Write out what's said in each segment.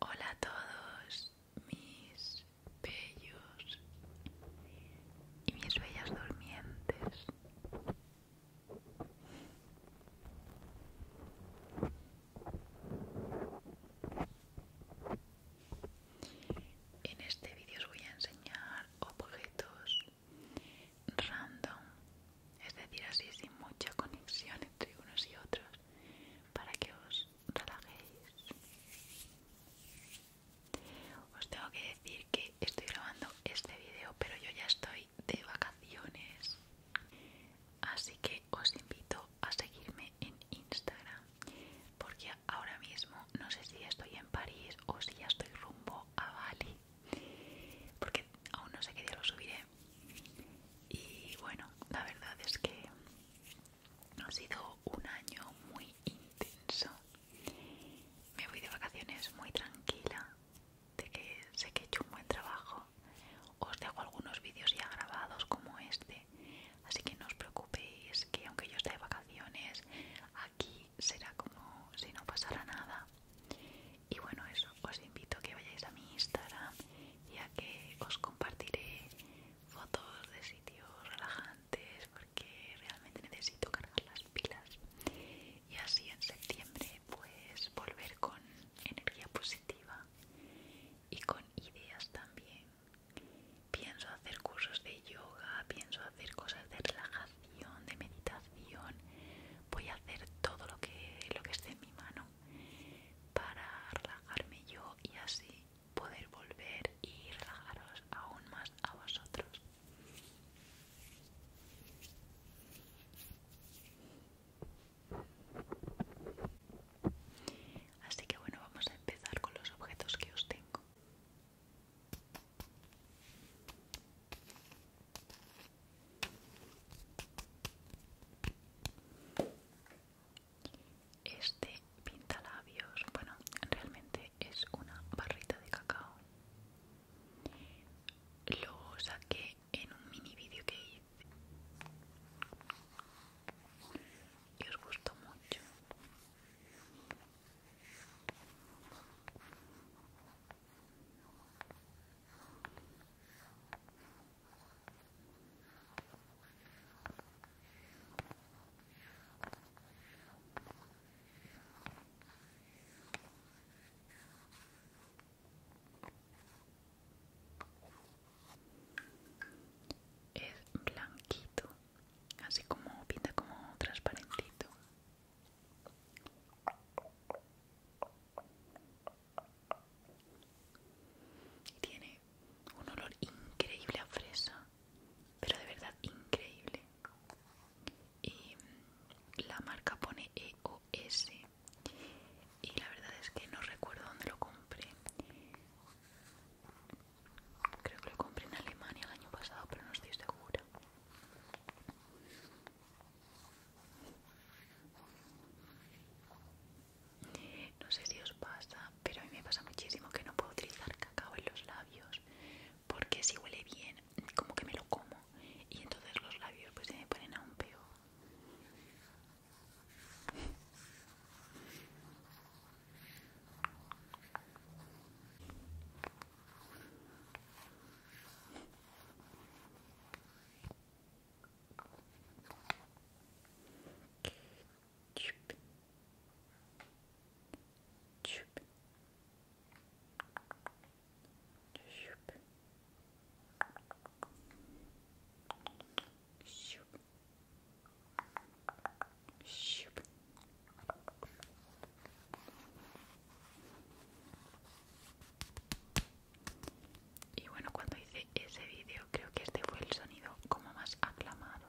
Hola a todos, mis bellos y mis bellas durmientes. En este vídeo os voy a enseñar objetos random, es decir, así sin mucha conexión entre unos y otros, para que os relajéis. Os tengo que decir que estoy grabando este video, pero yo ya estoy de vacaciones. Así que os invito a seguirme en Instagram, porque ahora mismo no sé si estoy en París o si ya estoy rumbo a Bali, porque aún no sé qué día lo subiré. Y bueno, la verdad es que ha sido un año muy intenso. Me voy de vacaciones muy tranquila, de que sé que he hecho un buen trabajo. Os dejo algunos vídeos ya grabados como este, así que no os preocupéis que aunque yo esté de vacaciones, aquí será como si no pasara nada. Y bueno, eso, os invito a que vayáis a mi Instagram, ya que os compartiré fotos de sitios relajantes porque realmente necesito cargar las pilas y así en septiembre pues volver con energía positiva y con ideas también pienso hacer cursos de yoga pienso hacer cosas de relajación de meditación voy a hacer todo lo que lo que esté en mi mano para relajarme yo y así poder volver y relajaros aún más a vosotros. Así que bueno, vamos a empezar con los objetos que os tengo. Este pintalabios, bueno, realmente es una barrita de cacao. Lo saqué en un mini vídeo que hice y os gustó mucho. Es blanquito, así como pinta como transparentito. Y tiene un olor increíble a fresa pero de verdad increíble y la marca pone EOS y la verdad es que no recuerdo dónde lo compré creo que lo compré en Alemania el año pasado pero no estoy segura no sé si os pasa pero a mí me pasa muchísimo que no puedo utilizar cacao en los labios porque si huele bien como que me lo como y entonces los labios pues se me ponen un peor y bueno, cuando hice ese vídeo creo que este fue el sonido como más aclamado.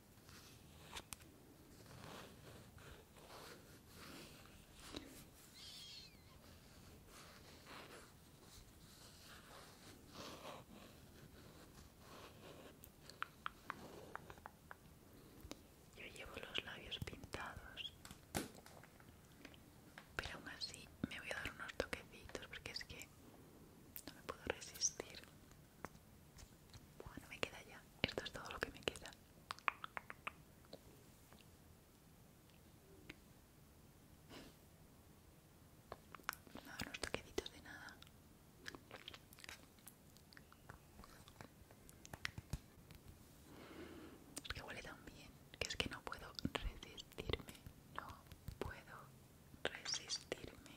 Yo llevo los labios pintados, pero aún así me voy a dar unos toquecitos porque es que no me puedo resistir. Bueno, me queda ya. Esto es todo lo que me queda. No, estoy toquecitos de nada. que huele tan bien, que es que no puedo resistirme. No puedo resistirme.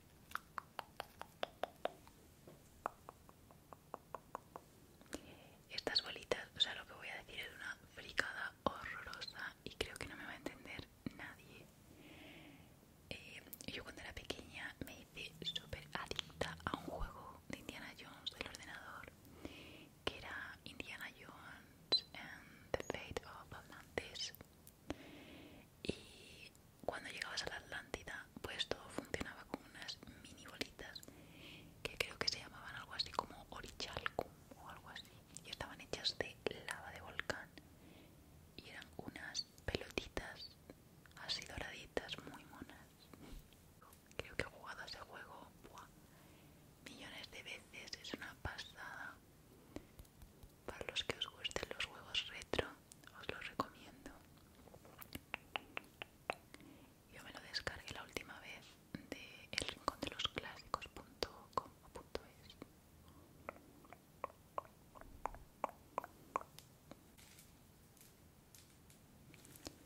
Estas bolitas, o sea, lo que voy a decir es una fricada horrorosa y creo que no me va a entender nadie. Eh, yo cuando era pequeña me hice súper adicta a un juego de Indiana Jones del ordenador que era Indiana Jones and the Fate of Atlantis y cuando llegabas a la Atlántida, pues todo funcionaba con unas mini bolitas que creo que se llamaban algo así como orichalcum o algo así. Y estaban hechas de lava de volcán. Y eran unas pelotitas así doraditas, muy monas. Creo que he jugado a ese juego millones de veces, es una pasada. Para los que os gusten los huevos retro, os los recomiendo. Yo me lo descargué la última vez de el rincón de los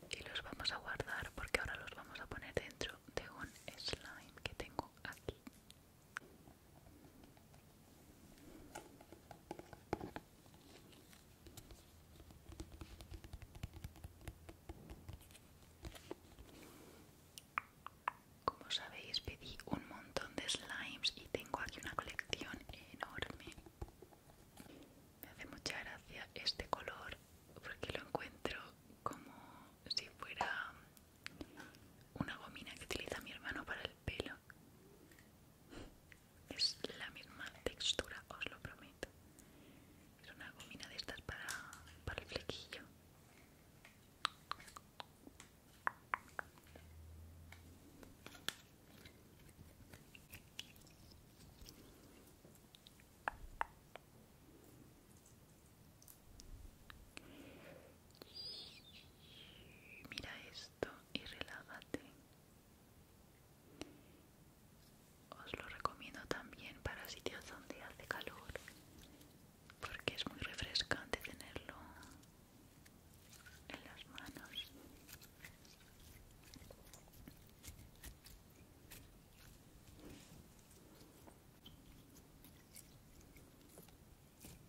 Y los vamos a guardar porque ahora los vamos a poner dentro de un slime que tengo aquí. Como sabéis, pedí un montón de slimes y tengo aquí una colección enorme. Me hace mucha gracia este color porque lo encuentro como si fuera una gomina que utiliza mi hermano para el pelo es la misma textura os lo prometo es una gomina de estas para, el flequillo Mira, esto y relájate. Os lo recomiendo también para sitios donde hace calor, porque es muy refrescante tenerlo en las manos.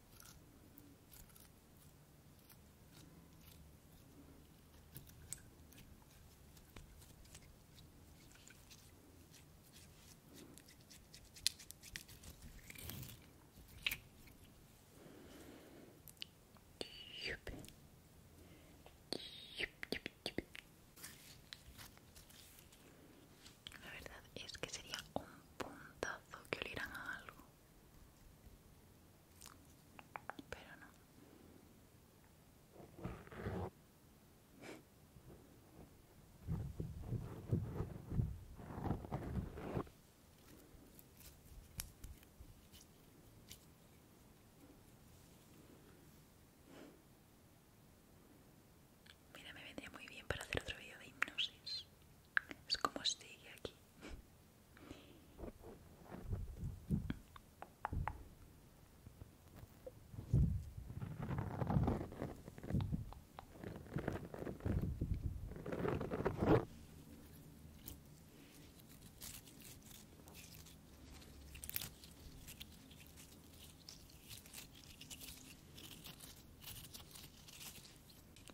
La verdad es que sería un punto que olirán a algo. Pero no. Mira, me vendría muy bien para hacer otro vídeo de hipnosis. Es como sigue aquí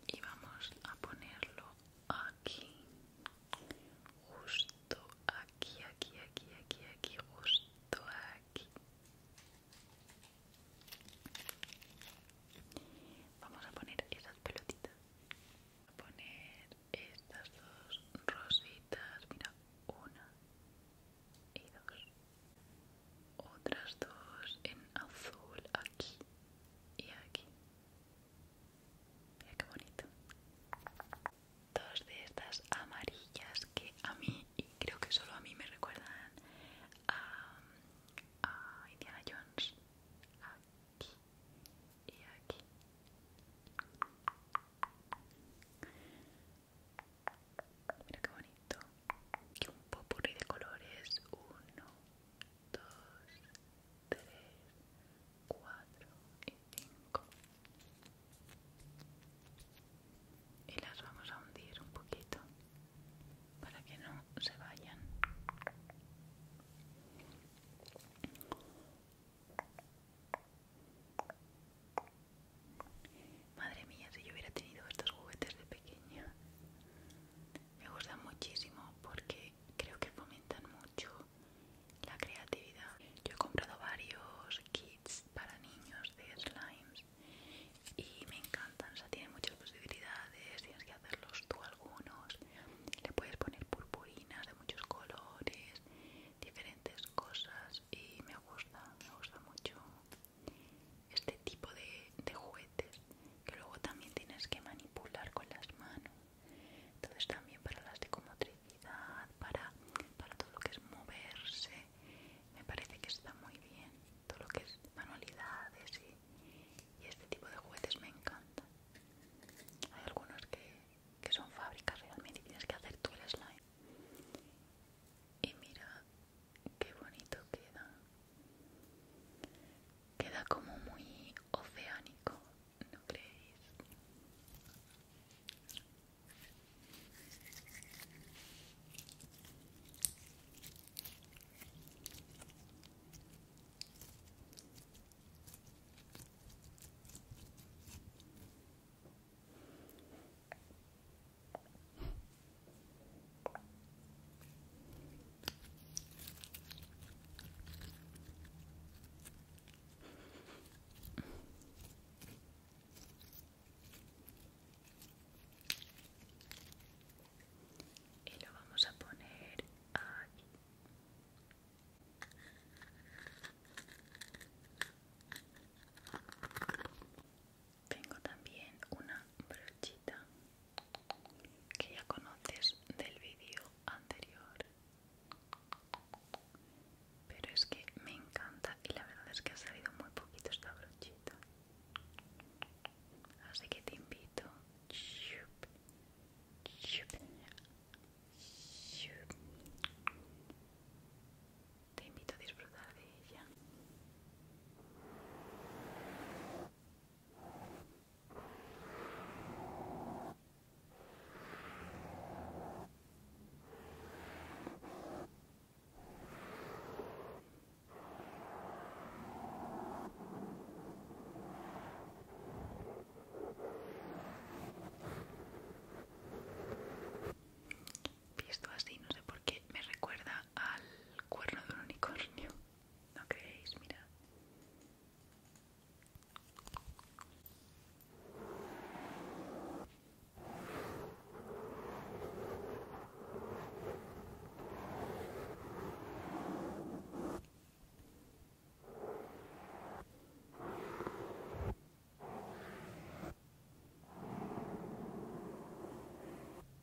y vamos a ponerlo aquí justo aquí aquí aquí aquí aquí justo aquí vamos a poner esas pelotitas a poner estas dos rositas mira una y dos otras dos en azul aquí y aquí mira qué bonito dos de estas amarillas que a mí y creo que solo a mí me recuerdan a, Indiana Jones aquí y aquí mira qué bonito y un popurrí de colores. Uno, dos, tres, cuatro y cinco. Y las vamos a hundir un poquito para que no se vayan. Madre mía, si yo hubiera tenido estos juguetes de pequeña, me gustan muchísimo porque creo que fomentan mucho la creatividad. Yo he comprado varios kits para niños de slimes y me encantan, o sea, tienen muchas posibilidades, tienes que hacerlos tú algunos, le puedes poner purpurinas de muchos colores, diferentes cosas y me gusta, me gusta mucho este tipo de, juguetes que luego también tienes que manipular con las manos entonces también para la psicomotricidad para, para todo lo que es moverse me parece que está muy bien todo lo que es manualidades y, este tipo de juguetes me encanta hay algunos que, que son fábricas realmente y tienes que hacer tú el slime y mira qué bonito queda queda como muy oceánico no creéis y lo vamos a poner aquí tengo también una brochita que ya conoces del vídeo anterior pero es que me encanta y la verdad es que ha salido muy poquito esta brochita así que te invito te invito a disfrutar de ella Visto así, no sé por qué me recuerda al cuerno de un unicornio. ¿No creéis? Mirad.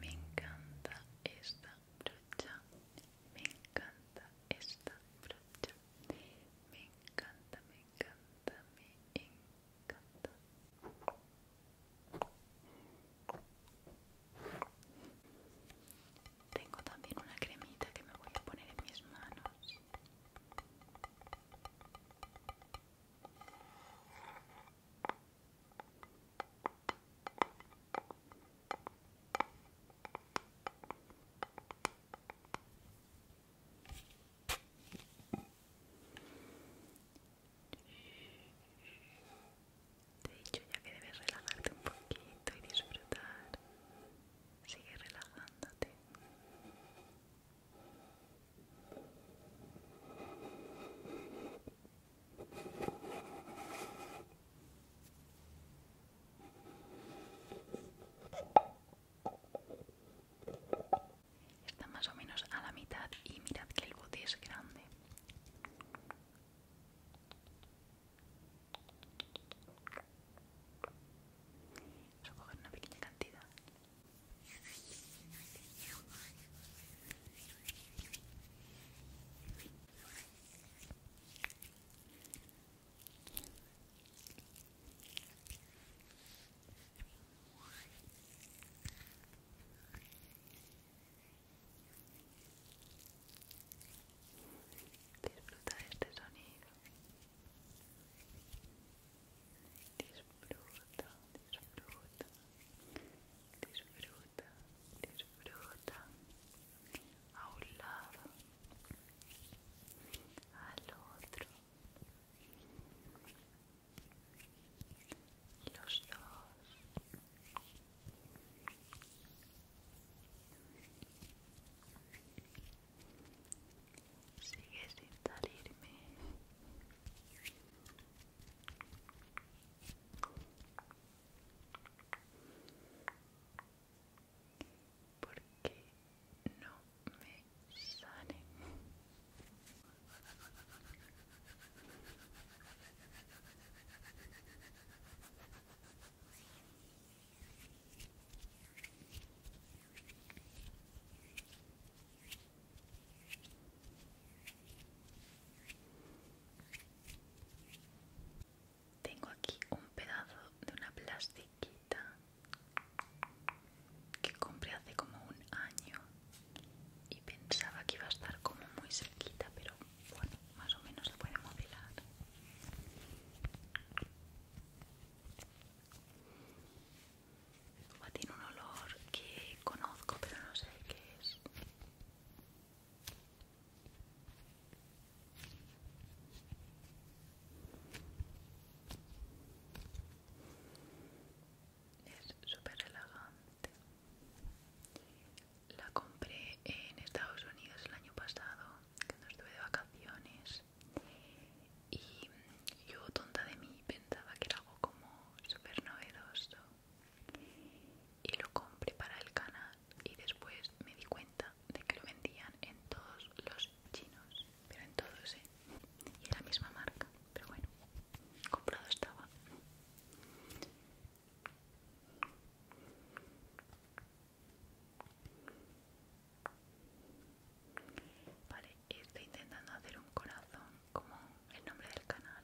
Me encanta esta brocha. Me encanta esta brocha. Me encanta, me encanta, me encanta. Tengo también una cremita que me voy a poner en mis manos. De hecho ya que debes relajarte un poquito y disfrutar. Sigue relajándote. Está más o menos a la mitad y mirad que el bote es grande. Vamos a coger una pequeña cantidad Disfruta este sonido. Disfruta, disfruta, disfruta, disfruta a un lado, al otro, los dos sigue sin salirme porque no me sale tengo aquí un pedazo de una plastiquita que compré hace como un año y pensaba que iba a estar como muy cerquita, pero bueno, más o menos se puede modelar. Tiene un olor que conozco, pero no sé qué es. Es súper relajante. La compré en Estados Unidos el año pasado, cuando estuve de vacaciones y yo tonta de mí pensaba que era algo como súper novedoso y lo compré para el canal y después me di cuenta de que lo vendían en todos los chinos pero en todos ¿eh? y era la misma marca pero bueno comprado estaba Vale, estoy intentando hacer un corazón como el nombre del canal,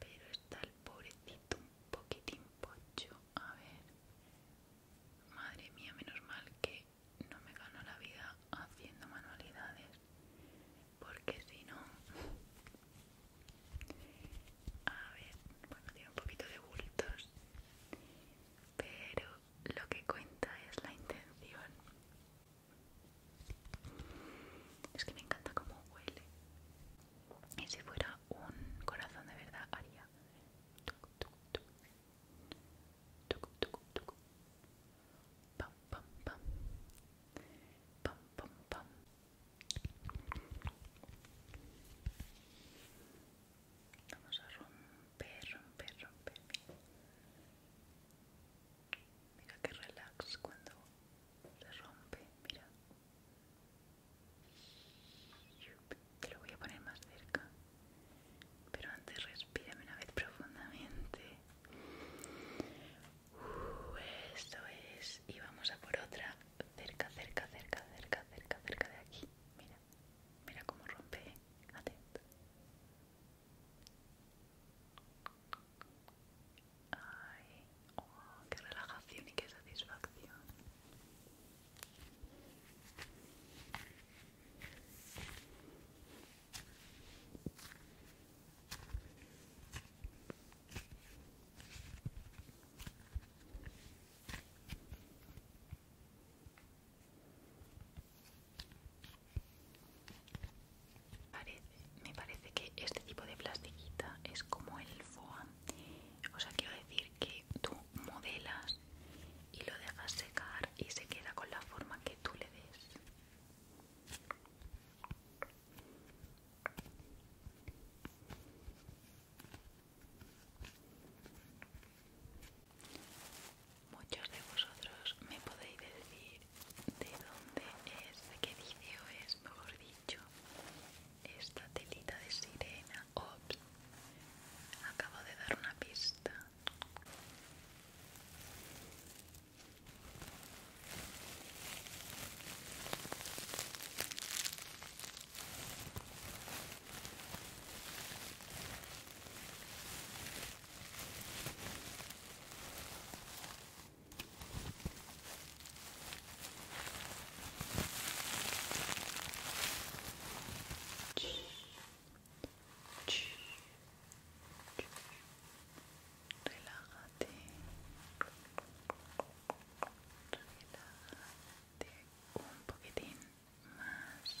pero está el pobrecito un poquitín pocho. A ver, madre mía, menos mal que no me gano la vida haciendo manualidades, porque si no. A ver, bueno, tiene un poquito de bultos, pero lo que cuenta es la intención. Es que me encanta cómo huele. Y si fuera un corazón de verdad haría. Vamos a romper, romper, romper. Mira que relax cuando se rompe, mira. Te lo voy a poner más cerca. Pero antes respírame una vez profundamente. Uh, esto es. Y vamos a por otra. Cerca, cerca, cerca, cerca, cerca, cerca de aquí. Mira. Mira cómo rompe. Atento. Oh, qué relajación y qué satisfacción me parece que este tipo de plastiquita es como el foam. O sea, quiero decir que tú modelas y lo dejas secar y se queda con la forma que tú le des. Muchos de vosotros me podéis decir de dónde es, de qué vídeo es, mejor dicho, esta telita de sirena. Ops, acabo de dar una pista. Relájate. Relájate un poquitín más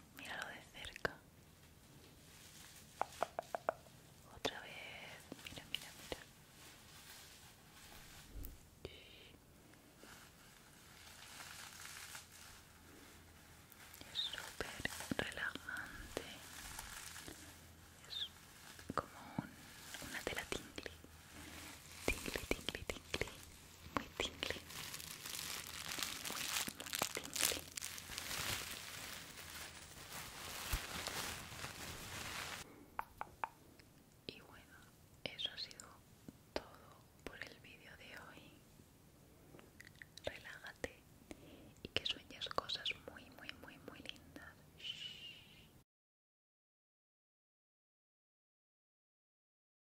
míralo de cerca. Otra vez, mira, mira, mira. Es súper relajante. Es como una tela tingly. tingle tingle tingle muy tingly muy, muy y bueno eso ha sido todo por el vídeo de hoy relájate y que sueñes cosas muy muy muy muy lindas